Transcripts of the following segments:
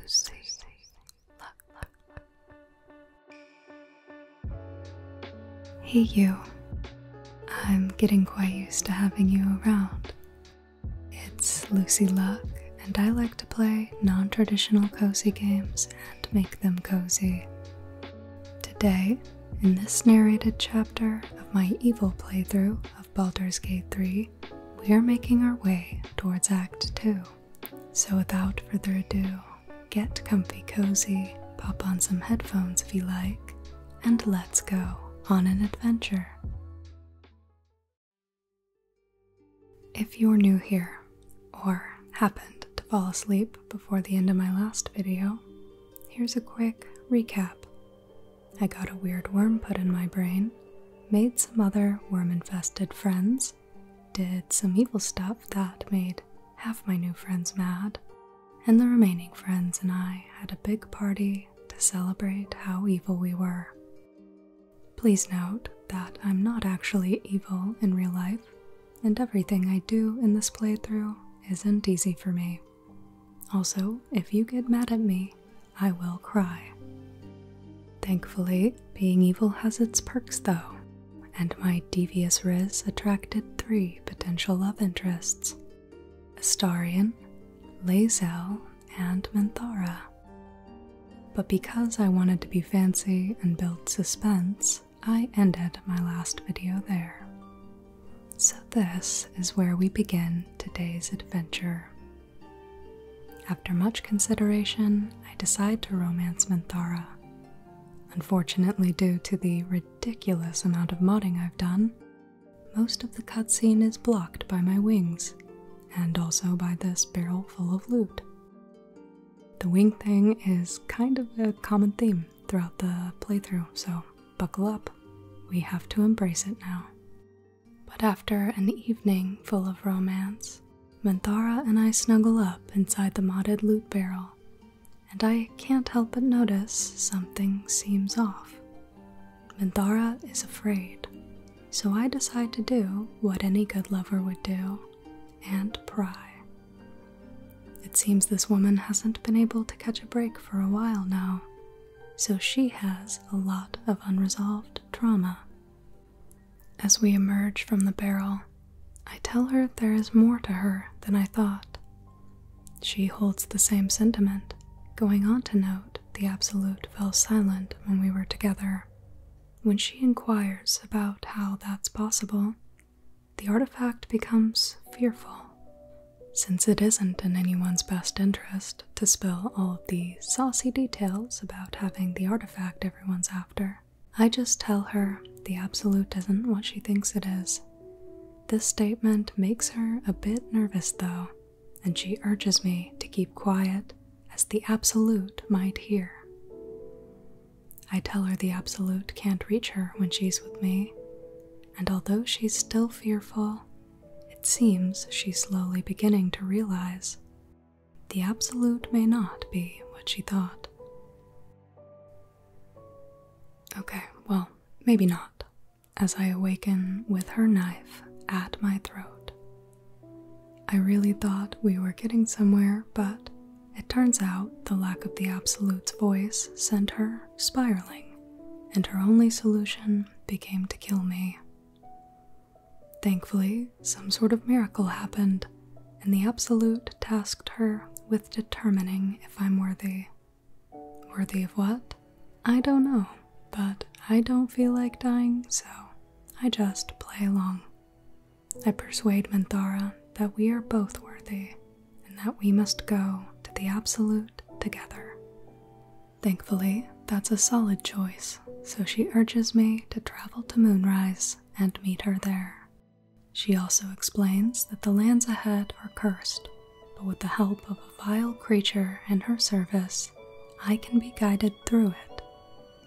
Lucy, luck. Hey, you. I'm getting quite used to having you around. It's Lucy Luck, and I like to play non traditional cozy games and make them cozy. Today, in this narrated chapter of my evil playthrough of Baldur's Gate 3, we are making our way towards Act 2. So, without further ado, get comfy cozy, pop on some headphones if you like, and let's go on an adventure. If you're new here, or happened to fall asleep before the end of my last video, here's a quick recap. I got a weird worm put in my brain, made some other worm infested friends, did some evil stuff that made half my new friends mad, and the remaining friends and I had a big party to celebrate how evil we were. Please note that I'm not actually evil in real life, and everything I do in this playthrough isn't easy for me. Also, if you get mad at me I will cry. Thankfully, being evil has its perks though, and my devious riz attracted three potential love interests Astarian, Lazel, and Menthara. But because I wanted to be fancy and build suspense, I ended my last video there. So, this is where we begin today's adventure after much consideration, I decide to romance Menthara. Unfortunately, due to the ridiculous amount of modding I've done, most of the cutscene is blocked by my wings, and also by this barrel full of loot. The wing thing is kind of a common theme throughout the playthrough, so buckle up. We have to embrace it now. But after an evening full of romance, Mandara and I snuggle up inside the modded loot barrel, and I can't help but notice something seems off. Mandara is afraid, so I decide to do what any good lover would do and pry. It seems this woman hasn't been able to catch a break for a while now, so she has a lot of unresolved trauma as we emerge from the barrel, I tell her there is more to her than I thought. She holds the same sentiment, going on to note the Absolute fell silent when we were together. When she inquires about how that's possible, the artifact becomes fearful, since it isn't in anyone's best interest to spill all the saucy details about having the artifact everyone's after. I just tell her the Absolute isn't what she thinks it is. This statement makes her a bit nervous, though, and she urges me to keep quiet as the Absolute might hear. I tell her the Absolute can't reach her when she's with me, and although she's still fearful, it seems she's slowly beginning to realize the absolute may not be what she thought. Okay, well, maybe not, as I awaken with her knife at my throat. I really thought we were getting somewhere, but it turns out the lack of the absolute's voice sent her spiraling, and her only solution became to kill me. Thankfully, some sort of miracle happened, and the Absolute tasked her with determining if I'm worthy. Worthy of what? I don't know, but I don't feel like dying, so I just play along. I persuade Manthara that we are both worthy and that we must go to the Absolute together. Thankfully, that's a solid choice so she urges me to travel to Moonrise and meet her there. She also explains that the lands ahead are cursed, but with the help of a vile creature in her service, I can be guided through it.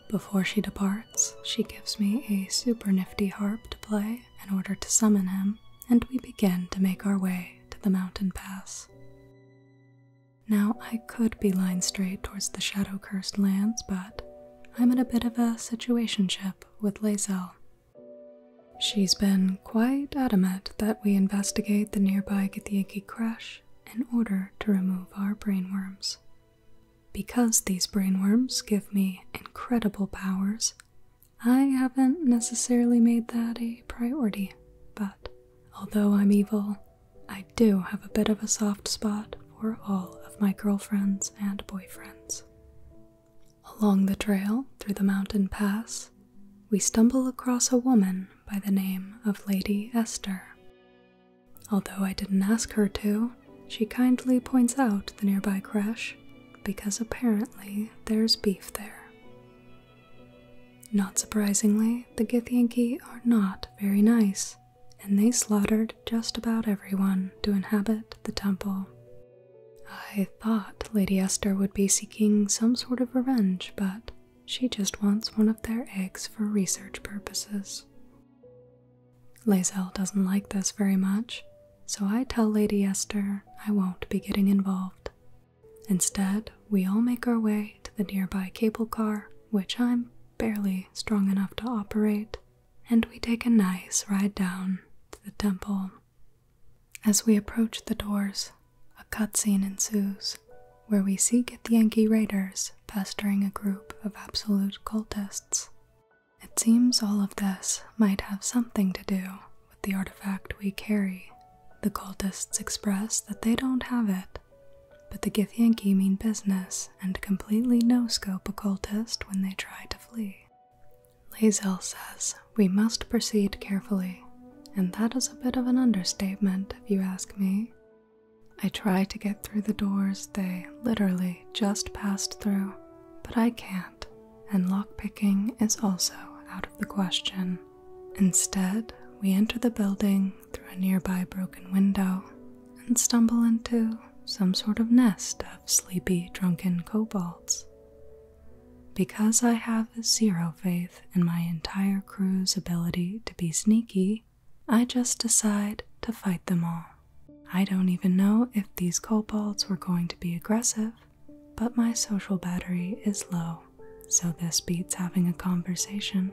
Before she departs, she gives me a super nifty harp to play in order to summon him, and we begin to make our way to the mountain pass. Now, I could be lined straight towards the shadow cursed lands, but I'm in a bit of a situationship with Lazel. She's been quite adamant that we investigate the nearby Githyanki crash in order to remove our brainworms. Because these brainworms give me incredible powers, I haven't necessarily made that a priority. But although I'm evil, I do have a bit of a soft spot for all of my girlfriends and boyfriends. Along the trail through the mountain pass, we stumble across a woman by the name of Lady Esther. Although I didn't ask her to, she kindly points out the nearby crash because apparently there's beef there. Not surprisingly, the Githyanki are not very nice, and they slaughtered just about everyone to inhabit the temple. I thought Lady Esther would be seeking some sort of revenge, but she just wants one of their eggs for research purposes. Lazel doesn't like this very much, so I tell Lady Esther I won't be getting involved. Instead, we all make our way to the nearby cable car, which I'm barely strong enough to operate, and we take a nice ride down to the temple. As we approach the doors, a cutscene ensues where we seek see Yankee raiders pestering a group of absolute cultists. It seems all of this might have something to do with the artifact we carry. The cultists express that they don't have it but the Githyanki mean business and completely no scope occultist when they try to flee. Lazel says, We must proceed carefully, and that is a bit of an understatement if you ask me. I try to get through the doors they literally just passed through, but I can't, and lockpicking is also out of the question. Instead, we enter the building through a nearby broken window and stumble into some sort of nest of sleepy, drunken kobolds. Because I have zero faith in my entire crew's ability to be sneaky, I just decide to fight them all. I don't even know if these kobolds were going to be aggressive, but my social battery is low, so this beats having a conversation.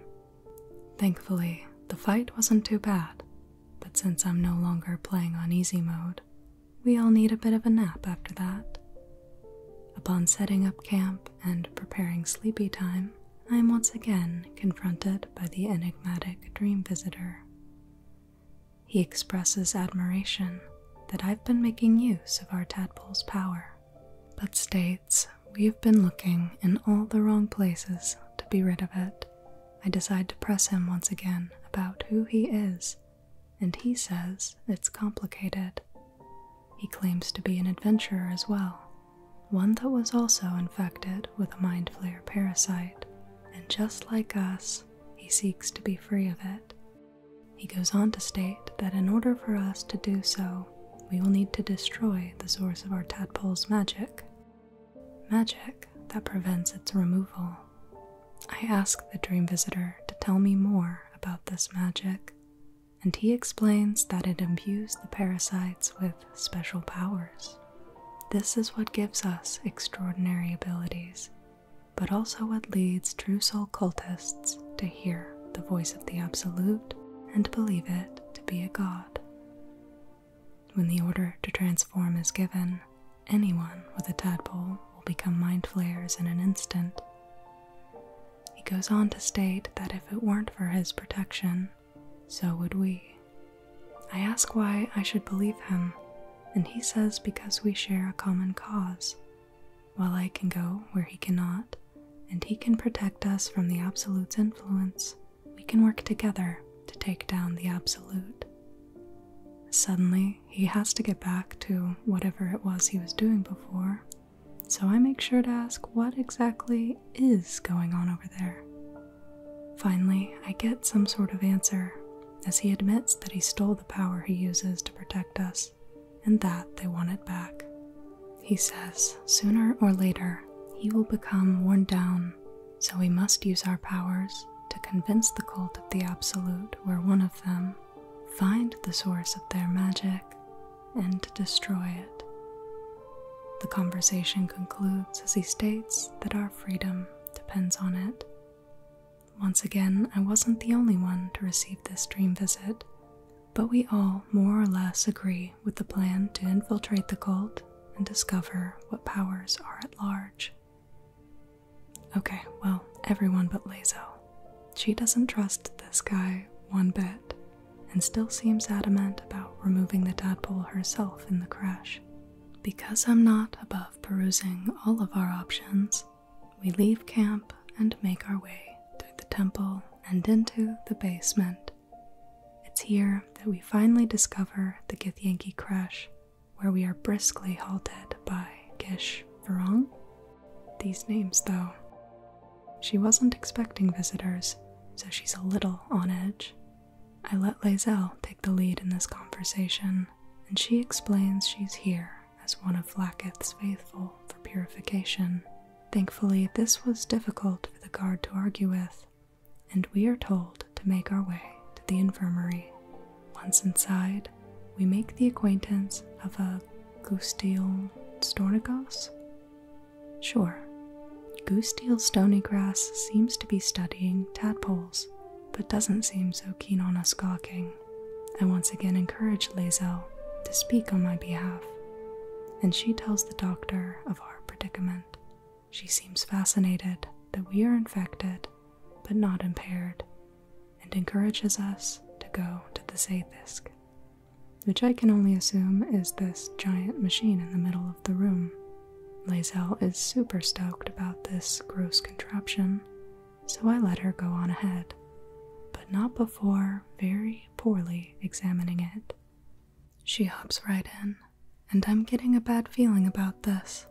Thankfully, the fight wasn't too bad, but since I'm no longer playing on easy mode, we all need a bit of a nap after that. Upon setting up camp and preparing sleepy time, I am once again confronted by the enigmatic dream visitor. He expresses admiration that I've been making use of our tadpole's power, but states we have been looking in all the wrong places to be rid of it. I decide to press him once again about who he is, and he says it's complicated. He claims to be an adventurer as well, one that was also infected with a mind flare parasite, and just like us, he seeks to be free of it. He goes on to state that in order for us to do so, we will need to destroy the source of our tadpole's magic, Magic that prevents its removal. I ask the dream visitor to tell me more about this magic, and he explains that it imbues the parasites with special powers. This is what gives us extraordinary abilities, but also what leads true soul cultists to hear the voice of the Absolute and believe it to be a god. When the order to transform is given, anyone with a tadpole will become mind flayers in an instant. He goes on to state that if it weren't for his protection, so would we. I ask why I should believe him, and he says because we share a common cause. While I can go where he cannot, and he can protect us from the Absolute's influence, we can work together to take down the absolute. Suddenly, he has to get back to whatever it was he was doing before, so I make sure to ask what exactly is going on over there. Finally, I get some sort of answer as he admits that he stole the power he uses to protect us and that they want it back. He says sooner or later he will become worn down so we must use our powers to convince the cult of the Absolute we're one of them, find the source of their magic, and destroy it. The conversation concludes as he states that our freedom depends on it. Once again, I wasn't the only one to receive this dream visit, but we all more or less agree with the plan to infiltrate the cult and discover what powers are at large. Okay, well, everyone but Lazo. She doesn't trust this guy one bit and still seems adamant about removing the tadpole herself in the crash. Because I'm not above perusing all of our options, we leave camp and make our way through the temple and into the basement it's here that we finally discover the Githyanki crash, where we are briskly halted by Gish Varong. These names, though. She wasn't expecting visitors, so she's a little on edge. I let Lazel take the lead in this conversation, and she explains she's here as one of Lacketh's faithful for purification. Thankfully, this was difficult for the guard to argue with, and we are told to make our way to the infirmary. Once inside, we make the acquaintance of a Gustiel Stornigos? Sure, Gustiel Stonygrass seems to be studying tadpoles, but doesn't seem so keen on us gawking. I once again encourage Lazel to speak on my behalf, and she tells the doctor of our predicament. She seems fascinated that we are infected but not impaired and encourages us to go to the Zaythisk, which I can only assume is this giant machine in the middle of the room. Lazel is super stoked about this gross contraption, so I let her go on ahead, but not before very poorly examining it. She hops right in and I'm getting a bad feeling about this,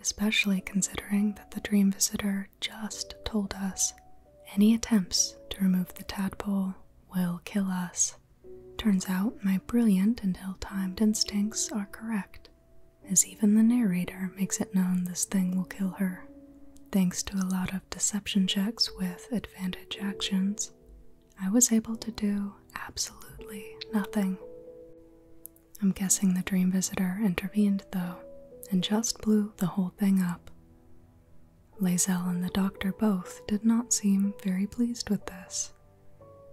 especially considering that the dream visitor just told us any attempts to remove the tadpole will kill us. Turns out my brilliant and ill timed instincts are correct, as even the narrator makes it known this thing will kill her. Thanks to a lot of deception checks with advantage actions, I was able to do absolutely nothing. I'm guessing the dream visitor intervened, though, and just blew the whole thing up. Lazelle and the doctor both did not seem very pleased with this.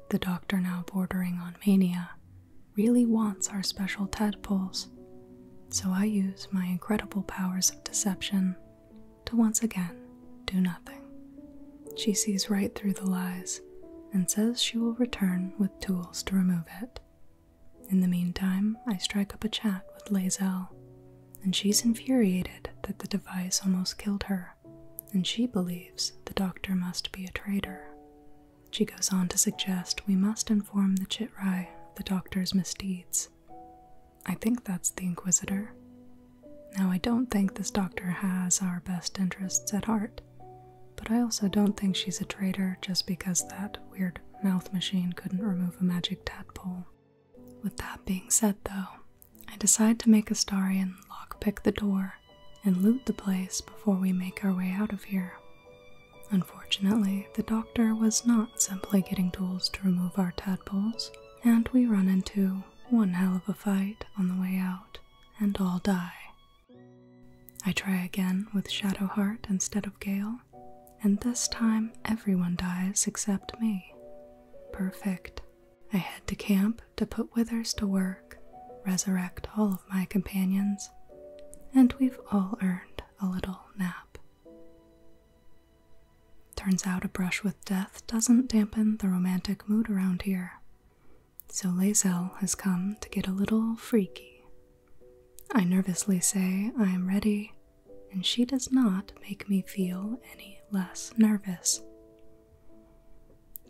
The doctor, now bordering on mania, really wants our special tadpoles, so I use my incredible powers of deception to once again do nothing. She sees right through the lies and says she will return with tools to remove it. In the meantime, I strike up a chat with Lazel, and she's infuriated that the device almost killed her, and she believes the doctor must be a traitor. She goes on to suggest we must inform the Chitrai of the doctor's misdeeds. I think that's the Inquisitor, now, I don't think this doctor has our best interests at heart, but I also don't think she's a traitor just because that weird mouth machine couldn't remove a magic tadpole. With that being said, though, I decide to make a Astarian lockpick the door and loot the place before we make our way out of here. Unfortunately, the doctor was not simply getting tools to remove our tadpoles and we run into one hell of a fight on the way out and all die. I try again with Shadowheart instead of Gale, and this time everyone dies except me. Perfect. I head to camp to put Withers to work, resurrect all of my companions, and we've all earned a little nap. Turns out a brush with death doesn't dampen the romantic mood around here. So Lazel has come to get a little freaky. I nervously say I am ready, and she does not make me feel any less nervous.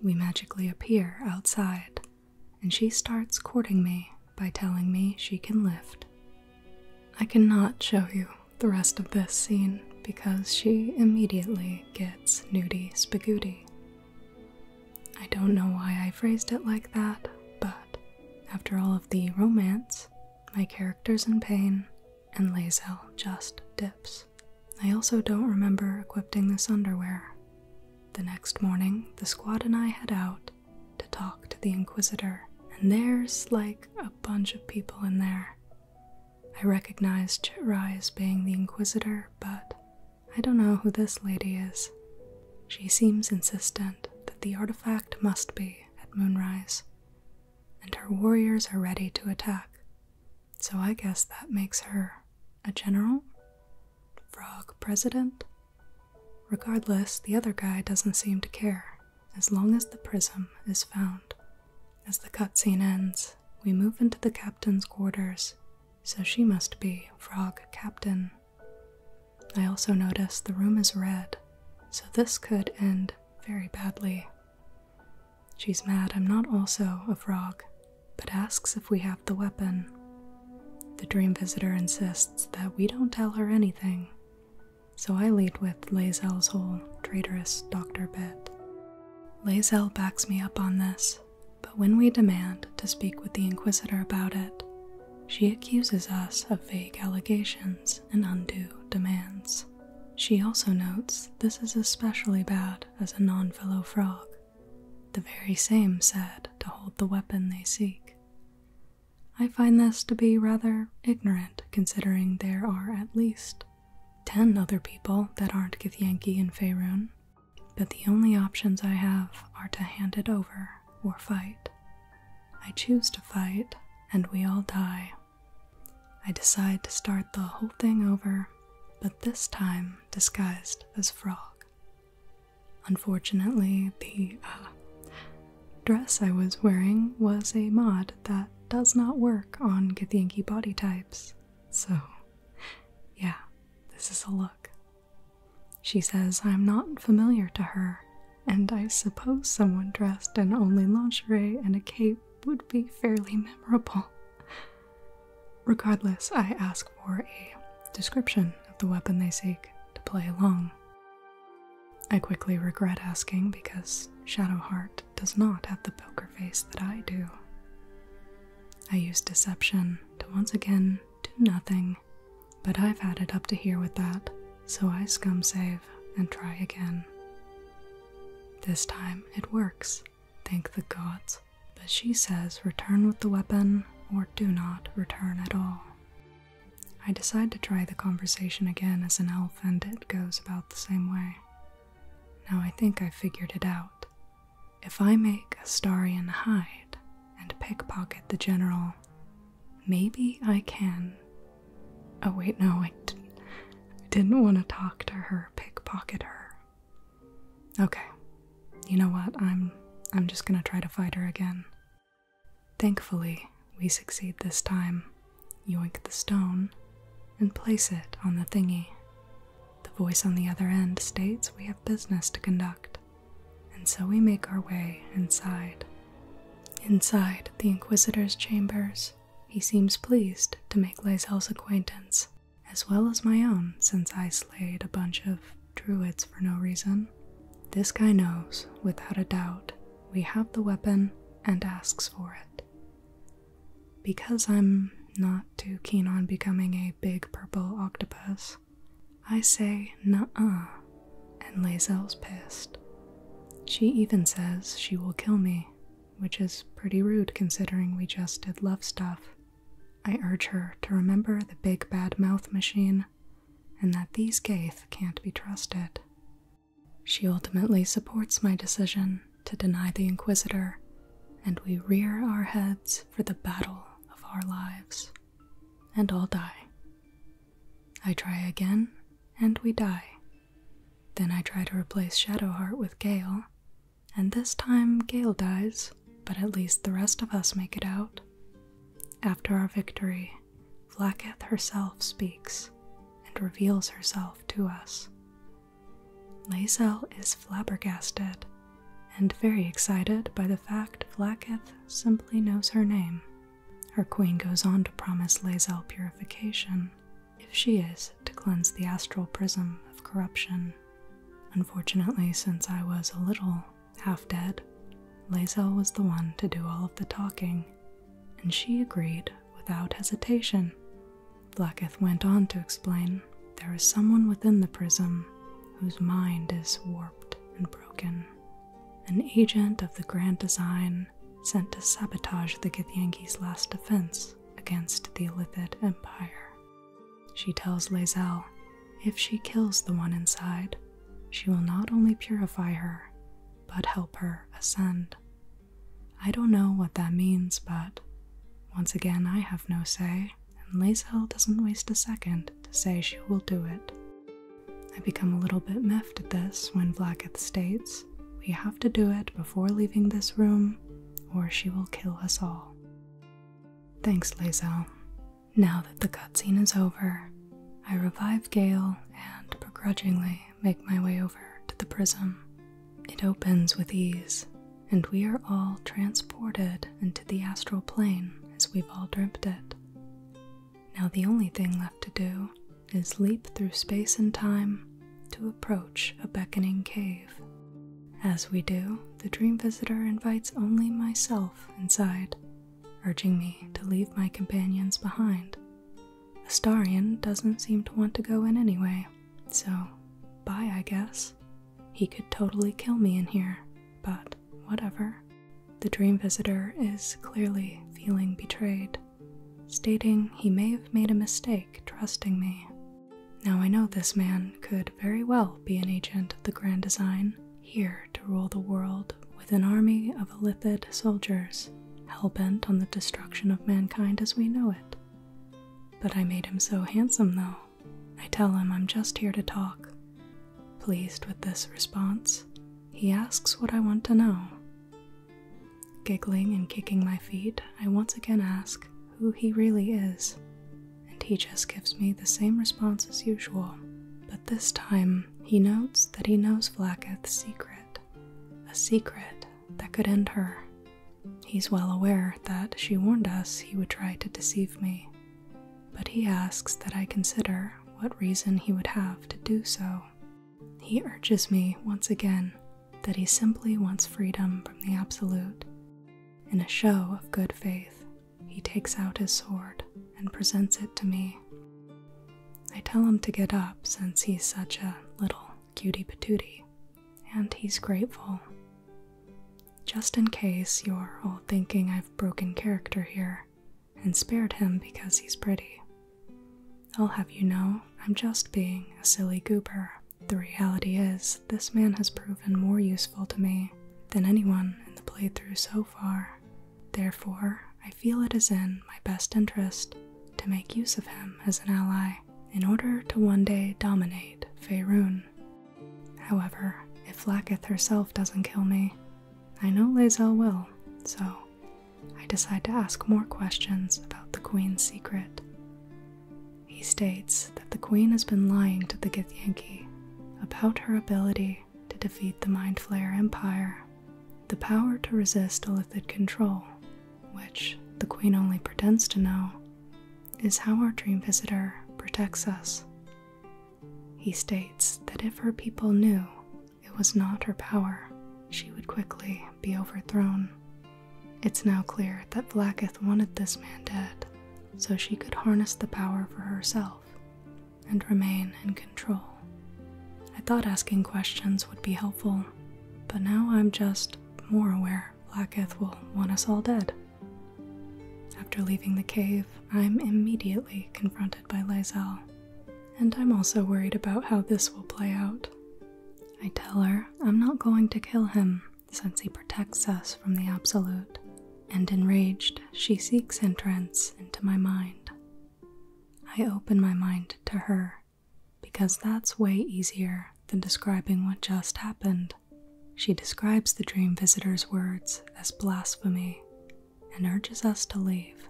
We magically appear outside, and she starts courting me by telling me she can lift. I cannot show you the rest of this scene because she immediately gets it's nudie spagooty. I don't know why I phrased it like that, but after all of the romance, my character's in pain, and Lazel just dips. I also don't remember equipping this underwear. The next morning, the squad and I head out to talk to the Inquisitor, and there's like a bunch of people in there. I recognized Chitrai as being the Inquisitor, but I don't know who this lady is. She seems insistent that the artifact must be at moonrise, and her warriors are ready to attack, so I guess that makes her a general? Frog president? Regardless, the other guy doesn't seem to care, as long as the prism is found. As the cutscene ends, we move into the captain's quarters, so she must be Frog Captain. I also notice the room is red, so this could end very badly. She's mad I'm not also a frog, but asks if we have the weapon. The dream visitor insists that we don't tell her anything, so I lead with Lazel's whole traitorous doctor Bet. Lazelle backs me up on this, but when we demand to speak with the Inquisitor about it, she accuses us of vague allegations and undue demands. She also notes this is especially bad as a non fellow frog, the very same said to hold the weapon they seek. I find this to be rather ignorant considering there are at least 10 other people that aren't Githyanki and Faerun, but the only options I have are to hand it over or fight. I choose to fight, and we all die. I decide to start the whole thing over, but this time disguised as Frog. Unfortunately, the uh, dress I was wearing was a mod that does not work on Githyanki body types, so yeah, this is a look. She says I'm not familiar to her, and I suppose someone dressed in only lingerie and a cape would be fairly memorable. Regardless, I ask for a description of the weapon they seek to play along. I quickly regret asking because Shadow Heart does not have the poker face that I do. I use deception to once again do nothing, but I've had it up to here with that, so I scum save and try again. This time it works, thank the gods, but she says return with the weapon or do not return at all. I decide to try the conversation again as an elf, and it goes about the same way. Now I think I figured it out, if I make a Starian hide and pickpocket the general, maybe I can. Oh, wait, no, I didn't, I didn't want to talk to her, pickpocket her. Okay, you know what? I'm, I'm just gonna try to fight her again. Thankfully, we succeed this time. Yoink the stone and place it on the thingy. The voice on the other end states we have business to conduct, and so we make our way inside. Inside the Inquisitor's chambers, he seems pleased to make Lazel's acquaintance, as well as my own, since I slayed a bunch of druids for no reason. This guy knows, without a doubt, we have the weapon and asks for it. Because I'm not too keen on becoming a big purple octopus, I say nuh-uh, and Lazelle's pissed. She even says she will kill me, which is pretty rude considering we just did love stuff. I urge her to remember the big bad mouth machine and that these Gaith can't be trusted. She ultimately supports my decision to deny the Inquisitor, and we rear our heads for the battle of our lives, and all die. I try again, and we die. Then I try to replace Shadowheart with Gale, and this time Gale dies, but at least the rest of us make it out. After our victory, Vlaketh herself speaks and reveals herself to us, Lazel is flabbergasted and very excited by the fact Blacketh simply knows her name. Her queen goes on to promise Lazel purification if she is to cleanse the astral prism of corruption. Unfortunately, since I was a little half dead, Lazel was the one to do all of the talking, and she agreed without hesitation Blacketh went on to explain there is someone within the prism whose mind is warped and broken, an agent of the Grand Design sent to sabotage the Githyanki's last defense against the Illithid Empire. She tells Lazel if she kills the one inside, she will not only purify her, but help her ascend. I don't know what that means, but once again, I have no say, and Lazel doesn't waste a second to say she will do it. I become a little bit miffed at this when Blacketh states, We have to do it before leaving this room, or she will kill us all. Thanks, Lazel. Now that the cutscene is over, I revive Gale and begrudgingly make my way over to the prism. It opens with ease, and we are all transported into the astral plane as we've all dreamt it. Now, the only thing left to do is leap through space and time to approach a beckoning cave. As we do, the dream visitor invites only myself inside, urging me to leave my companions behind. Astarian doesn't seem to want to go in anyway, so, bye, I guess. He could totally kill me in here, but whatever. The dream visitor is clearly feeling betrayed, stating he may have made a mistake trusting me. Now I know this man could very well be an agent of the Grand Design, here to rule the world with an army of Elithid soldiers, hell-bent on the destruction of mankind as we know it. But I made him so handsome, though. I tell him I'm just here to talk. Pleased with this response, he asks what I want to know. Giggling and kicking my feet, I once again ask who he really is, and he just gives me the same response as usual. But this time, he notes that he knows Blacketh's secret, a secret that could end her. He's well aware that she warned us he would try to deceive me, but he asks that I consider what reason he would have to do so. He urges me once again that he simply wants freedom from the absolute. In a show of good faith, he takes out his sword and presents it to me. I tell him to get up since he's such a little cutie patootie, and he's grateful. Just in case you're all thinking I've broken character here and spared him because he's pretty. I'll have you know I'm just being a silly goober. The reality is, this man has proven more useful to me than anyone in the playthrough so far. Therefore, I feel it is in my best interest to make use of him as an ally in order to one day dominate Faerun. However, if Lacketh herself doesn't kill me, I know Lazel will, so I decide to ask more questions about the Queen's secret. He states that the Queen has been lying to the Githyanki about her ability to defeat the Mind Flayer Empire, the power to resist Illithid control, which the Queen only pretends to know, is how our dream visitor protects us. He states that if her people knew it was not her power, she would quickly be overthrown. It's now clear that Blacketh wanted this man dead so she could harness the power for herself and remain in control. I thought asking questions would be helpful, but now I'm just more aware Blacketh will want us all dead. After leaving the cave, I'm immediately confronted by Lysel, and I'm also worried about how this will play out. I tell her I'm not going to kill him since he protects us from the Absolute, and enraged, she seeks entrance into my mind. I open my mind to her because that's way easier than describing what just happened. She describes the dream visitor's words as blasphemy and urges us to leave.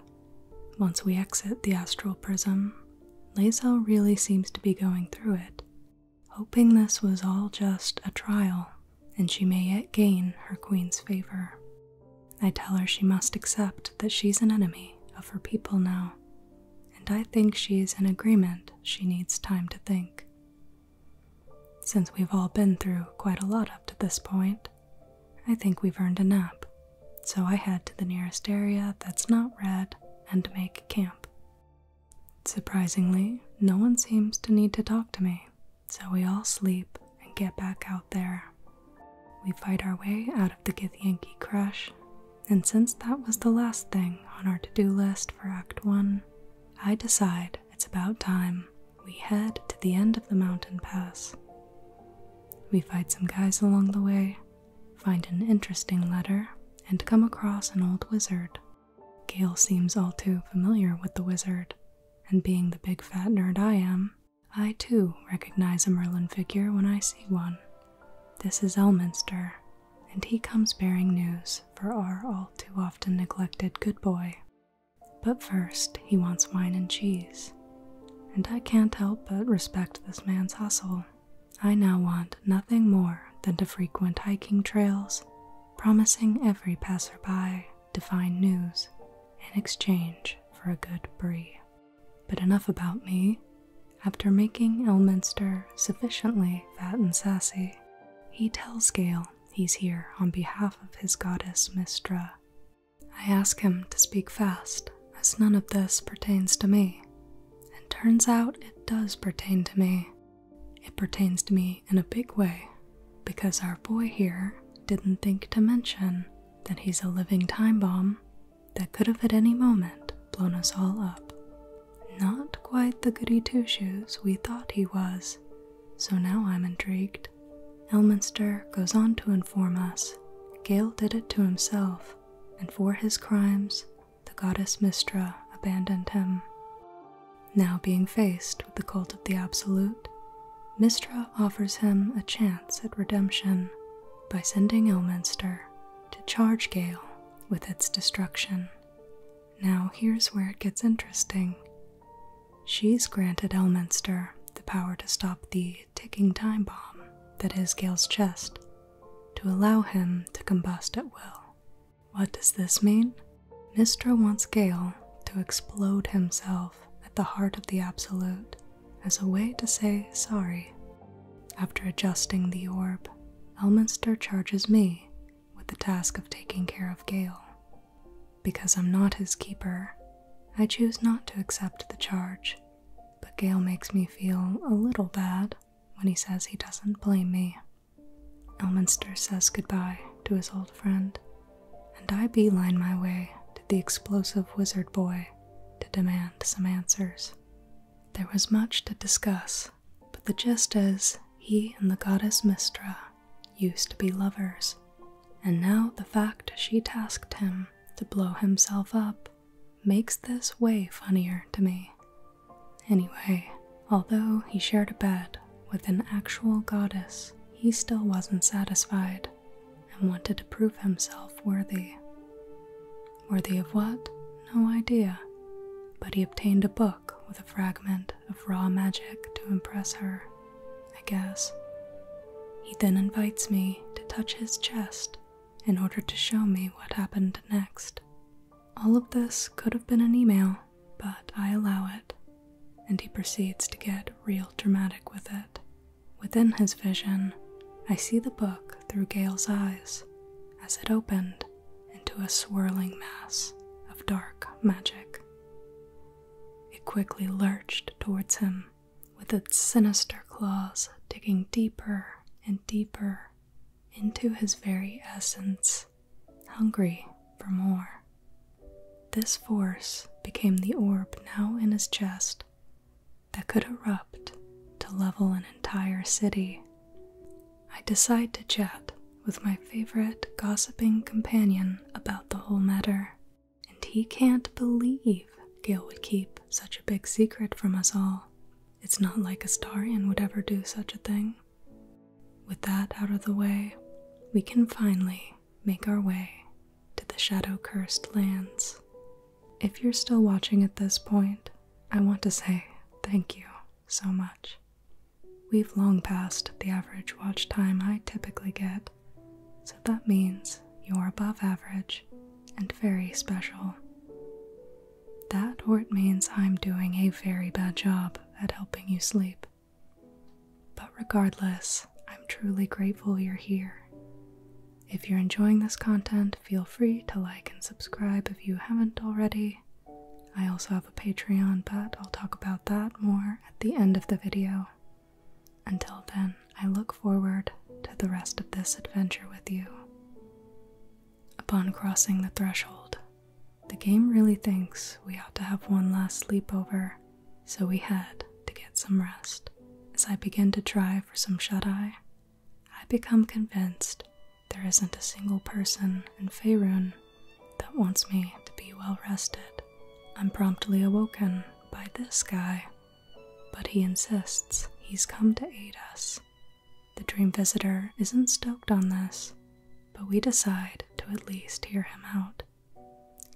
Once we exit the astral prism, Lazel really seems to be going through it, hoping this was all just a trial and she may yet gain her queen's favor. I tell her she must accept that she's an enemy of her people now, and I think she's in agreement she needs time to think. Since we've all been through quite a lot up to this point, I think we've earned a nap, so I head to the nearest area that's not red and make camp. Surprisingly, no one seems to need to talk to me, so we all sleep and get back out there. We fight our way out of the Githyanki crash, and since that was the last thing on our to do list for Act 1, I decide it's about time we head to the end of the mountain pass. We fight some guys along the way, find an interesting letter, and come across an old wizard. Gale seems all too familiar with the wizard, and being the big fat nerd I am, I too recognize a Merlin figure when I see one. This is Elminster, and he comes bearing news for our all too often neglected good boy. But first, he wants wine and cheese, and I can't help but respect this man's hustle. I now want nothing more than to frequent hiking trails, promising every passerby divine news in exchange for a good brie. But enough about me. After making Elminster sufficiently fat and sassy, he tells Gail he's here on behalf of his goddess Mistra. I ask him to speak fast, as none of this pertains to me. And turns out it does pertain to me. It pertains to me in a big way, because our boy here didn't think to mention that he's a living time bomb that could have at any moment blown us all up. Not quite the goody two shoes we thought he was, so now I'm intrigued. Elminster goes on to inform us Gale did it to himself, and for his crimes, the goddess Mistra abandoned him. Now being faced with the cult of the Absolute, Mistra offers him a chance at redemption by sending Elminster to charge Gale with its destruction. Now, here's where it gets interesting. She's granted Elminster the power to stop the ticking time bomb that is Gale's chest, to allow him to combust at will. What does this mean? Mistra wants Gale to explode himself at the heart of the Absolute as a way to say sorry. After adjusting the orb, Elminster charges me with the task of taking care of Gale. Because I'm not his keeper, I choose not to accept the charge, but Gale makes me feel a little bad when he says he doesn't blame me. Elminster says goodbye to his old friend, and I beeline my way to the explosive wizard boy to demand some answers. There was much to discuss but the gist is he and the goddess Mistra used to be lovers, and now the fact she tasked him to blow himself up makes this way funnier to me. Anyway, although he shared a bed with an actual goddess, he still wasn't satisfied and wanted to prove himself worthy. Worthy of what? No idea. But he obtained a book with a fragment of raw magic to impress her, I guess. He then invites me to touch his chest in order to show me what happened next. All of this could have been an email, but I allow it, and he proceeds to get real dramatic with it. Within his vision, I see the book through Gale's eyes as it opened into a swirling mass of dark magic. It quickly lurched towards him, with its sinister claws digging deeper and deeper into his very essence, hungry for more. This force became the orb now in his chest that could erupt to level an entire city I decide to chat with my favorite gossiping companion about the whole matter, and he can't believe Gail would keep such a big secret from us all. It's not like a Starion would ever do such a thing. With that out of the way, we can finally make our way to the shadow cursed lands. If you're still watching at this point, I want to say thank you so much. We've long passed the average watch time I typically get, so that means you're above average and very special. That or it means I'm doing a very bad job at helping you sleep. But regardless, I'm truly grateful you're here. If you're enjoying this content, feel free to like and subscribe if you haven't already, I also have a Patreon, but I'll talk about that more at the end of the video. Until then, I look forward to the rest of this adventure with you. Upon crossing the threshold, the game really thinks we ought to have one last sleepover, so we had to get some rest. As I begin to try for some shut eye, I become convinced there isn't a single person in Faerun that wants me to be well rested. I'm promptly awoken by this guy, but he insists he's come to aid us. The dream visitor isn't stoked on this, but we decide to at least hear him out.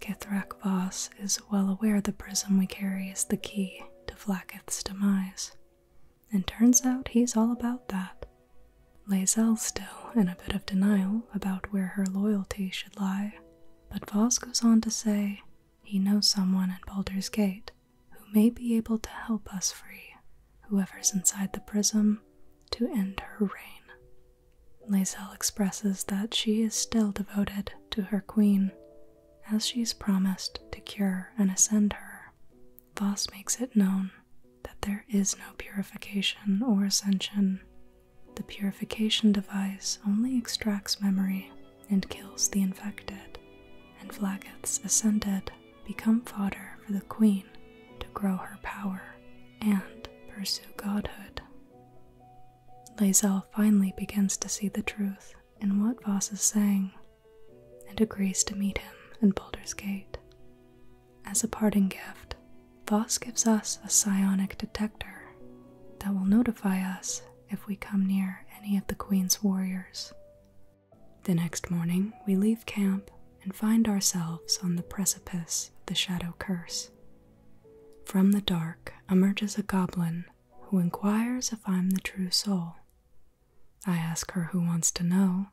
Kithrak Voss is well aware the prism we carry is the key to Vlaketh's demise, and turns out he's all about that. Lazelle's still in a bit of denial about where her loyalty should lie, but Voss goes on to say he knows someone in Baldur's Gate who may be able to help us free whoever's inside the prism to end her reign. Lazelle expresses that she is still devoted to her queen, as she's promised to cure and ascend her, Voss makes it known that there is no purification or ascension. The purification device only extracts memory and kills the infected, and Vlagath's ascended become fodder for the queen to grow her power and pursue godhood. Lazel finally begins to see the truth in what Voss is saying and agrees to meet him in Boulder's Gate. As a parting gift, Voss gives us a psionic detector that will notify us if we come near any of the Queen's warriors. The next morning, we leave camp and find ourselves on the precipice of the Shadow Curse. From the dark emerges a goblin who inquires if I'm the true soul. I ask her who wants to know,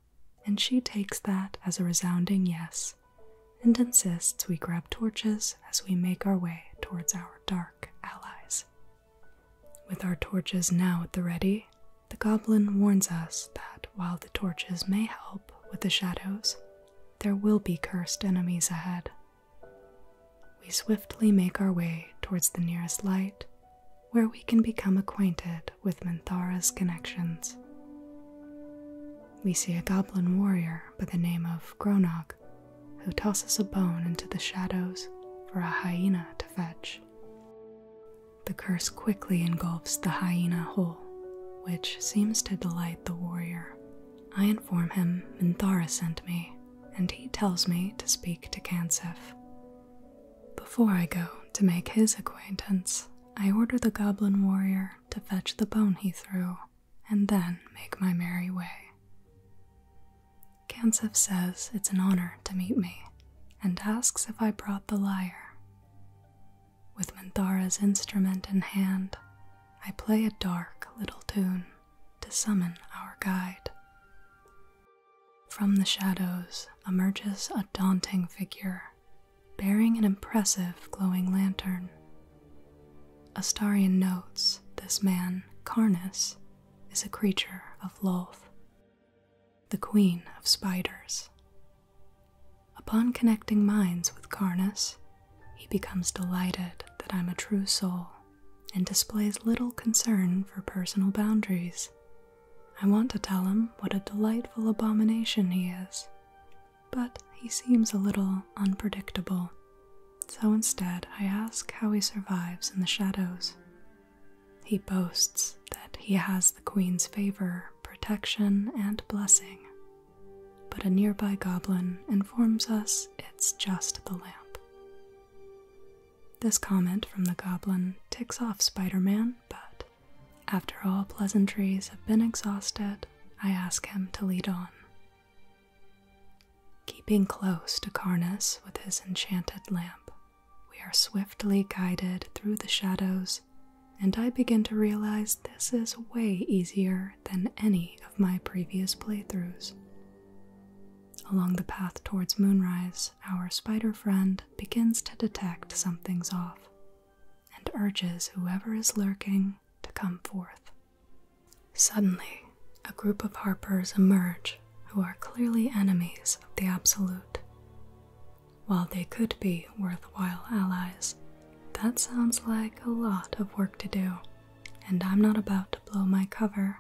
and she takes that as a resounding yes and insists we grab torches as we make our way towards our dark allies. With our torches now at the ready, the goblin warns us that while the torches may help with the shadows, there will be cursed enemies ahead. We swiftly make our way towards the nearest light, where we can become acquainted with Minthara's connections. We see a goblin warrior by the name of Gronog who tosses a bone into the shadows for a hyena to fetch. The curse quickly engulfs the hyena whole, which seems to delight the warrior. I inform him Minthara sent me, and he tells me to speak to Kansif. Before I go to make his acquaintance, I order the goblin warrior to fetch the bone he threw, and then make my merry way. Kansef says it's an honor to meet me, and asks if I brought the lyre. With Minthara's instrument in hand, I play a dark little tune to summon our guide. From the shadows emerges a daunting figure bearing an impressive glowing lantern. Astarian notes this man, Carnus, is a creature of Loth, the queen of spiders. Upon connecting minds with Carnus, he becomes delighted that I'm a true soul and displays little concern for personal boundaries I want to tell him what a delightful abomination he is, but he seems a little unpredictable, so instead I ask how he survives in the shadows. He boasts that he has the Queen's favor, protection, and blessing, but a nearby goblin informs us it's just the lamp. This comment from the goblin ticks off Spider Man, but after all pleasantries have been exhausted, I ask him to lead on. Keeping close to Carnus with his enchanted lamp, we are swiftly guided through the shadows, and I begin to realize this is way easier than any of my previous playthroughs. Along the path towards moonrise, our spider friend begins to detect something's off and urges whoever is lurking to come forth. Suddenly, a group of harpers emerge who are clearly enemies of the Absolute. While they could be worthwhile allies, that sounds like a lot of work to do, and I'm not about to blow my cover,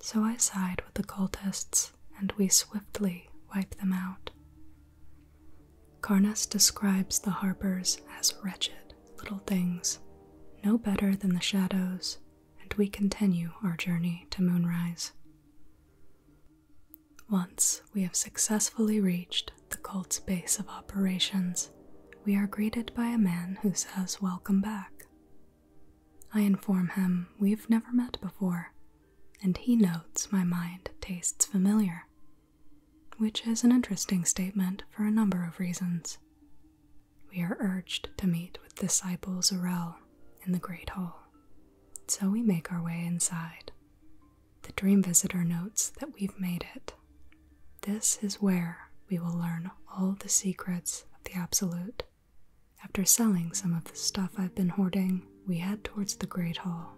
so I side with the cultists and we swiftly wipe them out. Carnas describes the harpers as wretched little things, no better than the shadows, and we continue our journey to moonrise. Once we have successfully reached the cult's base of operations, we are greeted by a man who says, Welcome back. I inform him we've never met before, and he notes my mind tastes familiar which is an interesting statement for a number of reasons. We are urged to meet with disciple Zorel in the Great Hall, so we make our way inside. The dream visitor notes that we've made it. This is where we will learn all the secrets of the Absolute. After selling some of the stuff I've been hoarding, we head towards the Great Hall.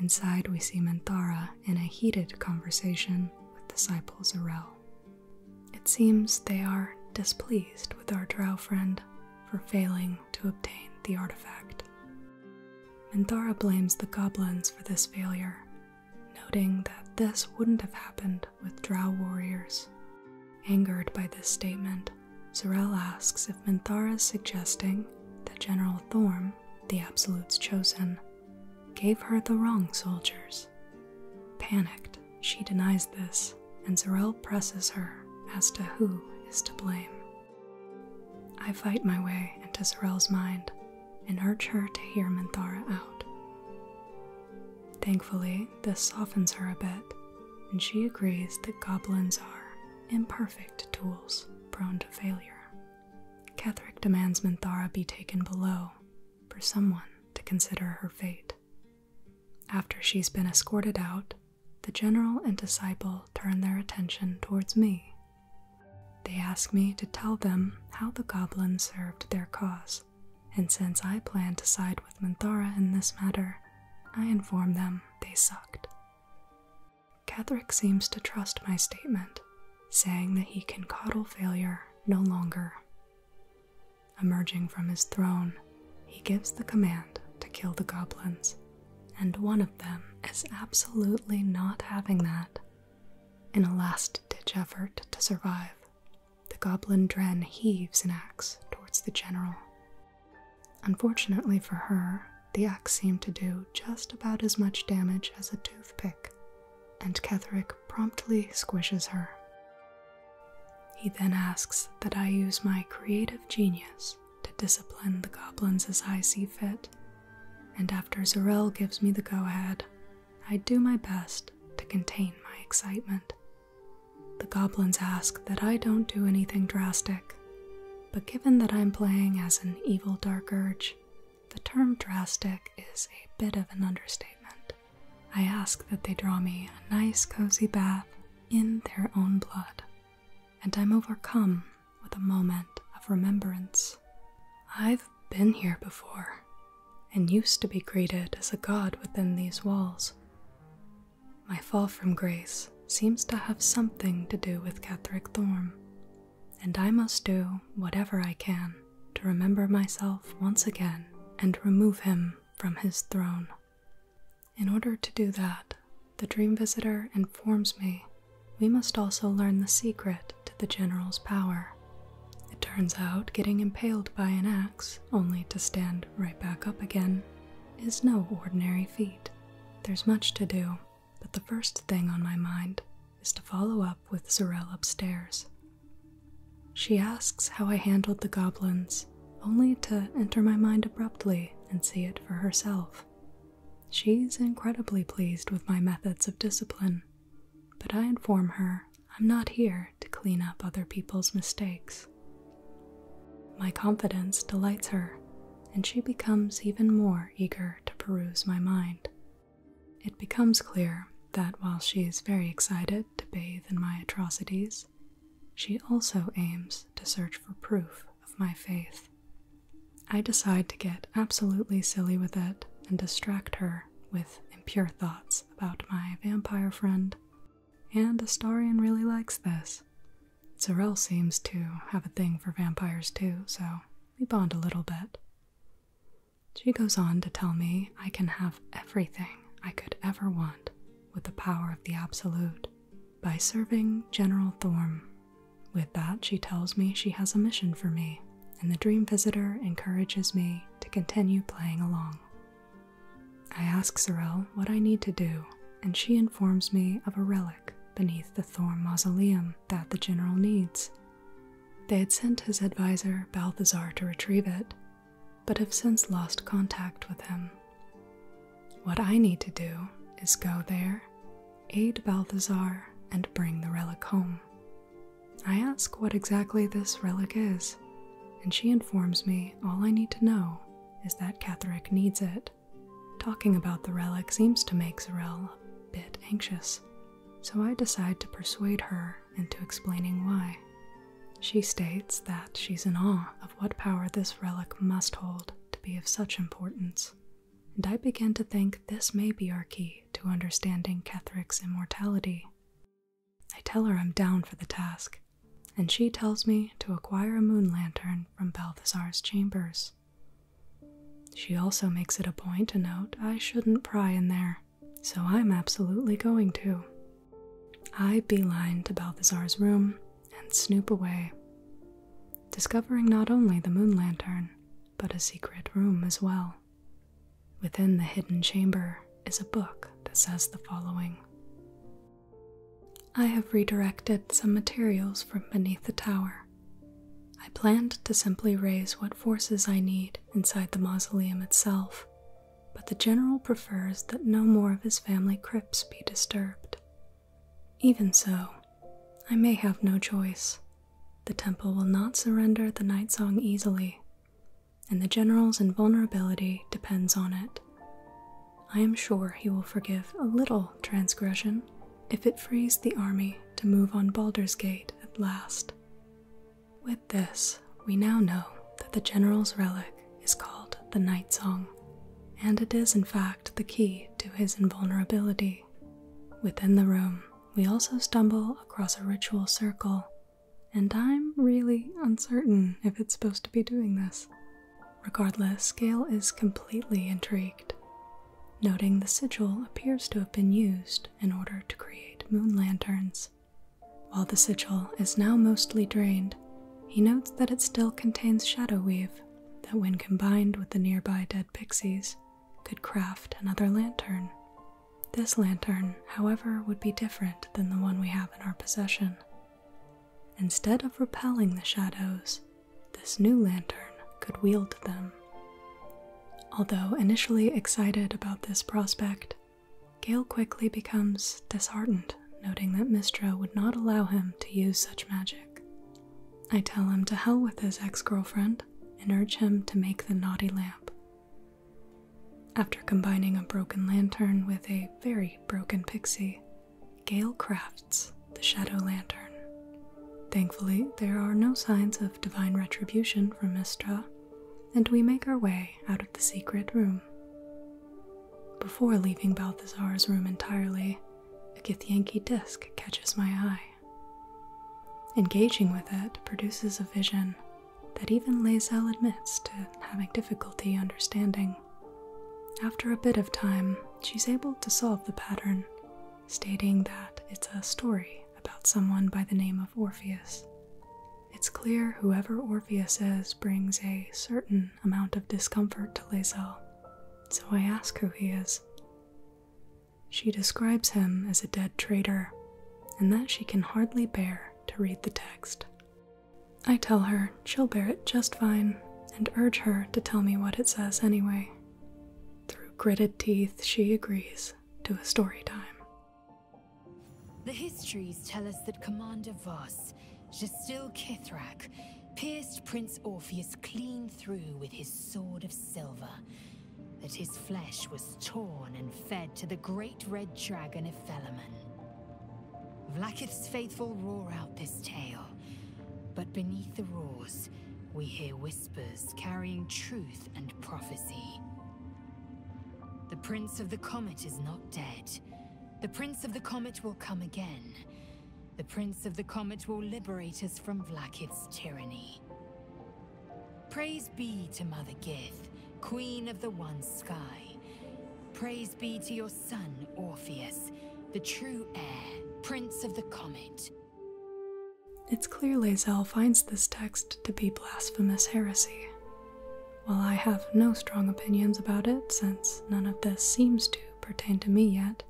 Inside, we see Menthara in a heated conversation with disciple Zarel. It seems they are displeased with our drow friend for failing to obtain the artifact. Menthara blames the goblins for this failure, noting that this wouldn't have happened with drow warriors. Angered by this statement, Zarel asks if Menthara is suggesting that General Thorm the Absolute's chosen gave her the wrong soldiers. Panicked, she denies this, and Zarel presses her as to who is to blame. I fight my way into Zarel's mind and urge her to hear Minthara out. Thankfully, this softens her a bit, and she agrees that goblins are imperfect tools prone to failure. Catherick demands Minthara be taken below for someone to consider her fate. After she's been escorted out, the general and disciple turn their attention towards me. They ask me to tell them how the goblin served their cause, and since I plan to side with Minthara in this matter, I inform them they sucked. Catherick seems to trust my statement, saying that he can coddle failure no longer. Emerging from his throne, he gives the command to kill the goblins, and one of them is absolutely not having that. In a last ditch effort to survive, the goblin Dren heaves an axe towards the general. Unfortunately for her, the axe seemed to do just about as much damage as a toothpick, and Ketherick promptly squishes her. He then asks that I use my creative genius to discipline the goblins as I see fit, and after Zorel gives me the go ahead, I do my best to contain my excitement. The goblins ask that I don't do anything drastic, but given that I'm playing as an evil dark urge, the term drastic is a bit of an understatement. I ask that they draw me a nice cozy bath in their own blood, and I'm overcome with a moment of remembrance. I've been here before, and used to be greeted as a god within these walls. My fall from grace seems to have something to do with Catherick Thorm, and I must do whatever I can to remember myself once again and remove him from his throne. In order to do that, the dream visitor informs me we must also learn the secret to the general's power. It turns out getting impaled by an axe, only to stand right back up again, is no ordinary feat. There's much to do, but the first thing on my mind is to follow up with Sorel upstairs. She asks how I handled the goblins, only to enter my mind abruptly and see it for herself. She's incredibly pleased with my methods of discipline, but I inform her I'm not here to clean up other people's mistakes. My confidence delights her, and she becomes even more eager to peruse my mind. It becomes clear that while she is very excited to bathe in my atrocities, she also aims to search for proof of my faith. I decide to get absolutely silly with it and distract her with impure thoughts about my vampire friend, and Astarian really likes this. Zarel seems to have a thing for vampires too, so we bond a little bit. She goes on to tell me I can have everything I could ever want with the power of the Absolute by serving General Thorm. With that, she tells me she has a mission for me, and the Dream Visitor encourages me to continue playing along. I ask Sorel what I need to do, and she informs me of a relic beneath the Thorn mausoleum that the general needs. They had sent his adviser Balthazar to retrieve it, but have since lost contact with him. What I need to do is go there, aid Balthazar, and bring the relic home. I ask what exactly this relic is, and she informs me all I need to know is that Catherick needs it. Talking about the relic seems to make Zarel a bit anxious, so I decide to persuade her into explaining why. She states that she's in awe of what power this relic must hold to be of such importance, and I begin to think this may be our key to understanding Kethric's immortality. I tell her I'm down for the task, and she tells me to acquire a moon lantern from Balthazar's chambers. She also makes it a point to note I shouldn't pry in there, so I'm absolutely going to. I beeline to Balthazar's room and snoop away, discovering not only the moon lantern, but a secret room as well. Within the hidden chamber is a book that says the following I have redirected some materials from beneath the tower I planned to simply raise what forces I need inside the mausoleum itself, but the general prefers that no more of his family crypts be disturbed. Even so, I may have no choice. The temple will not surrender the night song easily, and the general's invulnerability depends on it. I am sure he will forgive a little transgression if it frees the army to move on Balder's Gate at last. With this, we now know that the general's relic is called the Night Song, and it is in fact the key to his invulnerability. Within the room, we also stumble across a ritual circle, and I'm really uncertain if it's supposed to be doing this. Regardless, Gail is completely intrigued noting the sigil appears to have been used in order to create moon lanterns. While the sigil is now mostly drained, he notes that it still contains shadow weave that, when combined with the nearby dead pixies, could craft another lantern. This lantern, however, would be different than the one we have in our possession. Instead of repelling the shadows, this new lantern could wield them. Although initially excited about this prospect, Gale quickly becomes disheartened, noting that Mistra would not allow him to use such magic. I tell him to hell with his ex girlfriend and urge him to make the naughty lamp. After combining a broken lantern with a very broken pixie, Gale crafts the Shadow Lantern. Thankfully, there are no signs of divine retribution from Mistra, and we make our way out of the secret room. Before leaving Balthazar's room entirely, a Githyanki disc catches my eye. Engaging with it produces a vision that even Lazel admits to having difficulty understanding. After a bit of time, she's able to solve the pattern stating that it's a story about someone by the name of Orpheus. It's clear whoever Orpheus is brings a certain amount of discomfort to Lazel, so I ask who he is. She describes him as a dead traitor, and that she can hardly bear to read the text. I tell her she'll bear it just fine and urge her to tell me what it says anyway. Through gritted teeth, she agrees to a story time. The histories tell us that Commander Voss, Jastil Kithrac, pierced Prince Orpheus clean through with his sword of silver, that his flesh was torn and fed to the great red dragon of Felaman. Vlakith's faithful roar out this tale, but beneath the roars, we hear whispers whispers carrying truth and prophecy. The Prince of the Comet is not dead. The Prince of the Comet will come again. The Prince of the Comet will liberate us from Vlakith's tyranny. Praise be to Mother Gith, Queen of the One Sky. Praise be to your son, Orpheus, the true heir, Prince of the Comet. It's clear Lazelle finds this text to be blasphemous heresy. While I have no strong opinions about it, since none of this seems to pertain to me yet,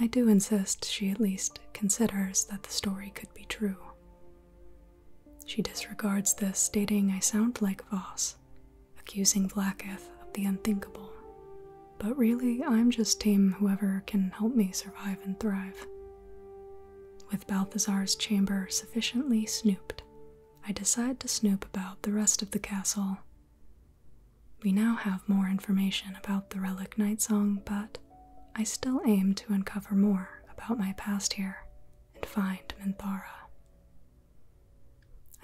I do insist she at least considers that the story could be true. She disregards this, stating I sound like Voss, accusing Blacketh of the unthinkable. But really, I'm just team whoever can help me survive and thrive. With Balthazar's chamber sufficiently snooped, I decide to snoop about the rest of the castle. We now have more information about the Relic Night Song, but I still aim to uncover more about my past here and find Minthara.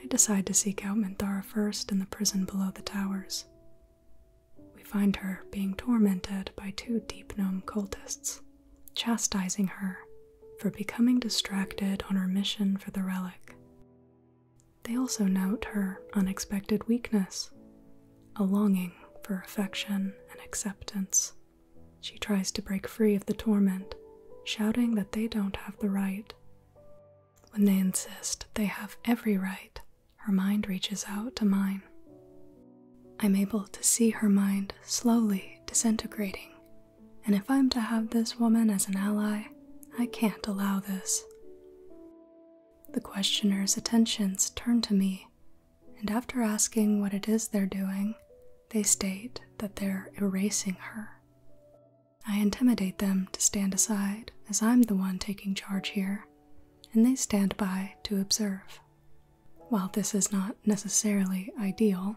I decide to seek out Minthara first in the prison below the towers. We find her being tormented by two deep gnome cultists, chastising her for becoming distracted on her mission for the relic. They also note her unexpected weakness, a longing for affection and acceptance. She tries to break free of the torment, shouting that they don't have the right. When they insist they have every right her mind reaches out to mine. I'm able to see her mind slowly disintegrating, and if I'm to have this woman as an ally, I can't allow this. The questioner's attentions turn to me, and after asking what it is they're doing, they state that they're erasing her. I intimidate them to stand aside, as I'm the one taking charge here, and they stand by to observe. While this is not necessarily ideal,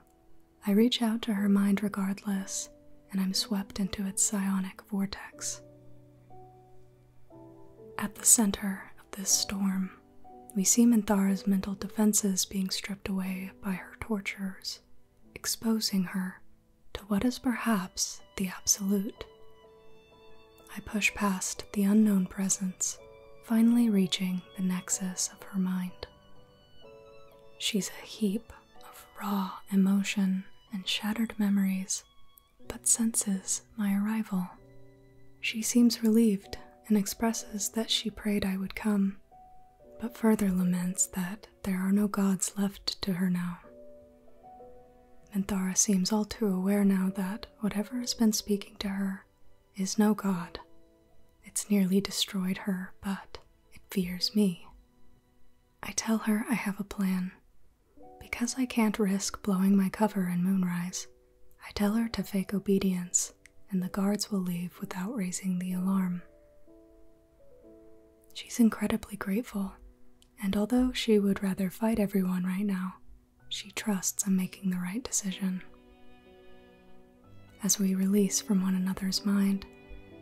I reach out to her mind regardless, and I'm swept into its psionic vortex. At the center of this storm, we see Manthara's mental defenses being stripped away by her torturers, exposing her to what is perhaps the absolute I push past the unknown presence, finally reaching the nexus of her mind. She's a heap of raw emotion and shattered memories, but senses my arrival. She seems relieved and expresses that she prayed I would come, but further laments that there are no gods left to her now. Manthara seems all too aware now that whatever has been speaking to her is no god. It's nearly destroyed her, but it fears me. I tell her I have a plan. Because I can't risk blowing my cover in moonrise, I tell her to fake obedience, and the guards will leave without raising the alarm. She's incredibly grateful, and although she would rather fight everyone right now, she trusts I'm making the right decision. As we release from one another's mind,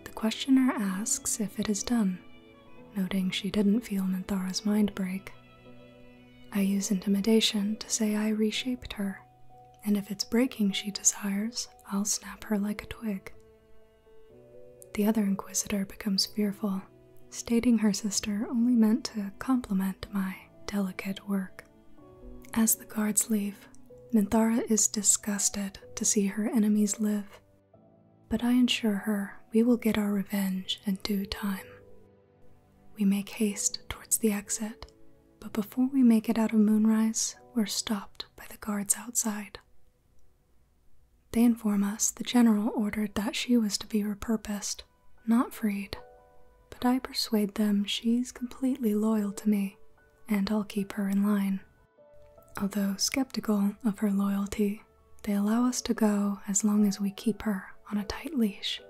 the questioner asks if it is done, noting she didn't feel Minthara's mind break. I use intimidation to say I reshaped her, and if it's breaking she desires, I'll snap her like a twig. The other Inquisitor becomes fearful stating her sister only meant to compliment my delicate work. As the guards leave, Minthara is disgusted to see her enemies live, but I assure her we will get our revenge in due time. We make haste towards the exit, but before we make it out of Moonrise, we're stopped by the guards outside. They inform us the general ordered that she was to be repurposed, not freed. But I persuade them she's completely loyal to me, and I'll keep her in line. Although skeptical of her loyalty, they allow us to go as long as we keep her on a tight leash.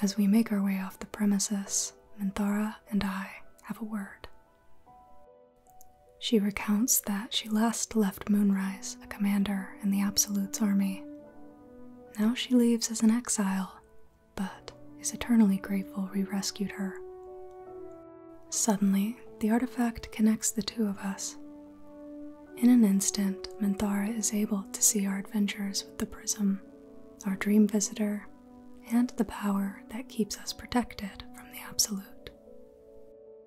As we make our way off the premises, Minthara and I have a word. She recounts that she last left Moonrise a commander in the Absolute's army. Now she leaves as an exile, but is eternally grateful we rescued her. Suddenly, the artifact connects the two of us. In an instant, Menthara is able to see our adventures with the prism, our dream visitor, and the power that keeps us protected from the Absolute.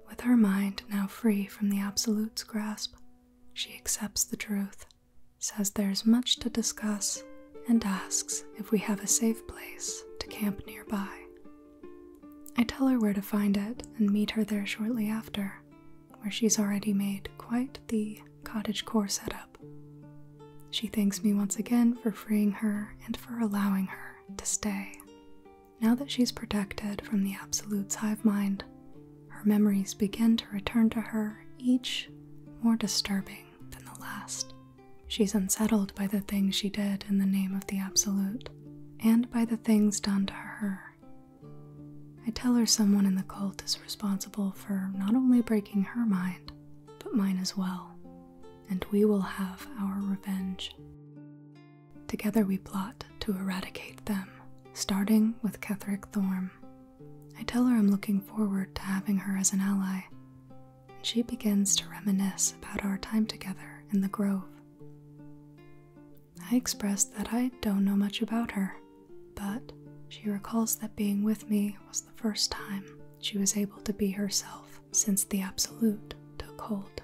With her mind now free from the absolute's grasp, she accepts the truth, says there's much to discuss, and asks if we have a safe place to camp nearby. I tell her where to find it and meet her there shortly after, where she's already made quite the cottage core setup. She thanks me once again for freeing her and for allowing her to stay. Now that she's protected from the Absolute's hive mind, her memories begin to return to her, each more disturbing than the last. She's unsettled by the things she did in the name of the Absolute, and by the things done to her. I tell her someone in the cult is responsible for not only breaking her mind, but mine as well, and we will have our revenge. Together we plot to eradicate them, starting with Catherick Thorne. I tell her I'm looking forward to having her as an ally, and she begins to reminisce about our time together in the grove. I express that I don't know much about her, but she recalls that being with me was the first time she was able to be herself since the Absolute took hold.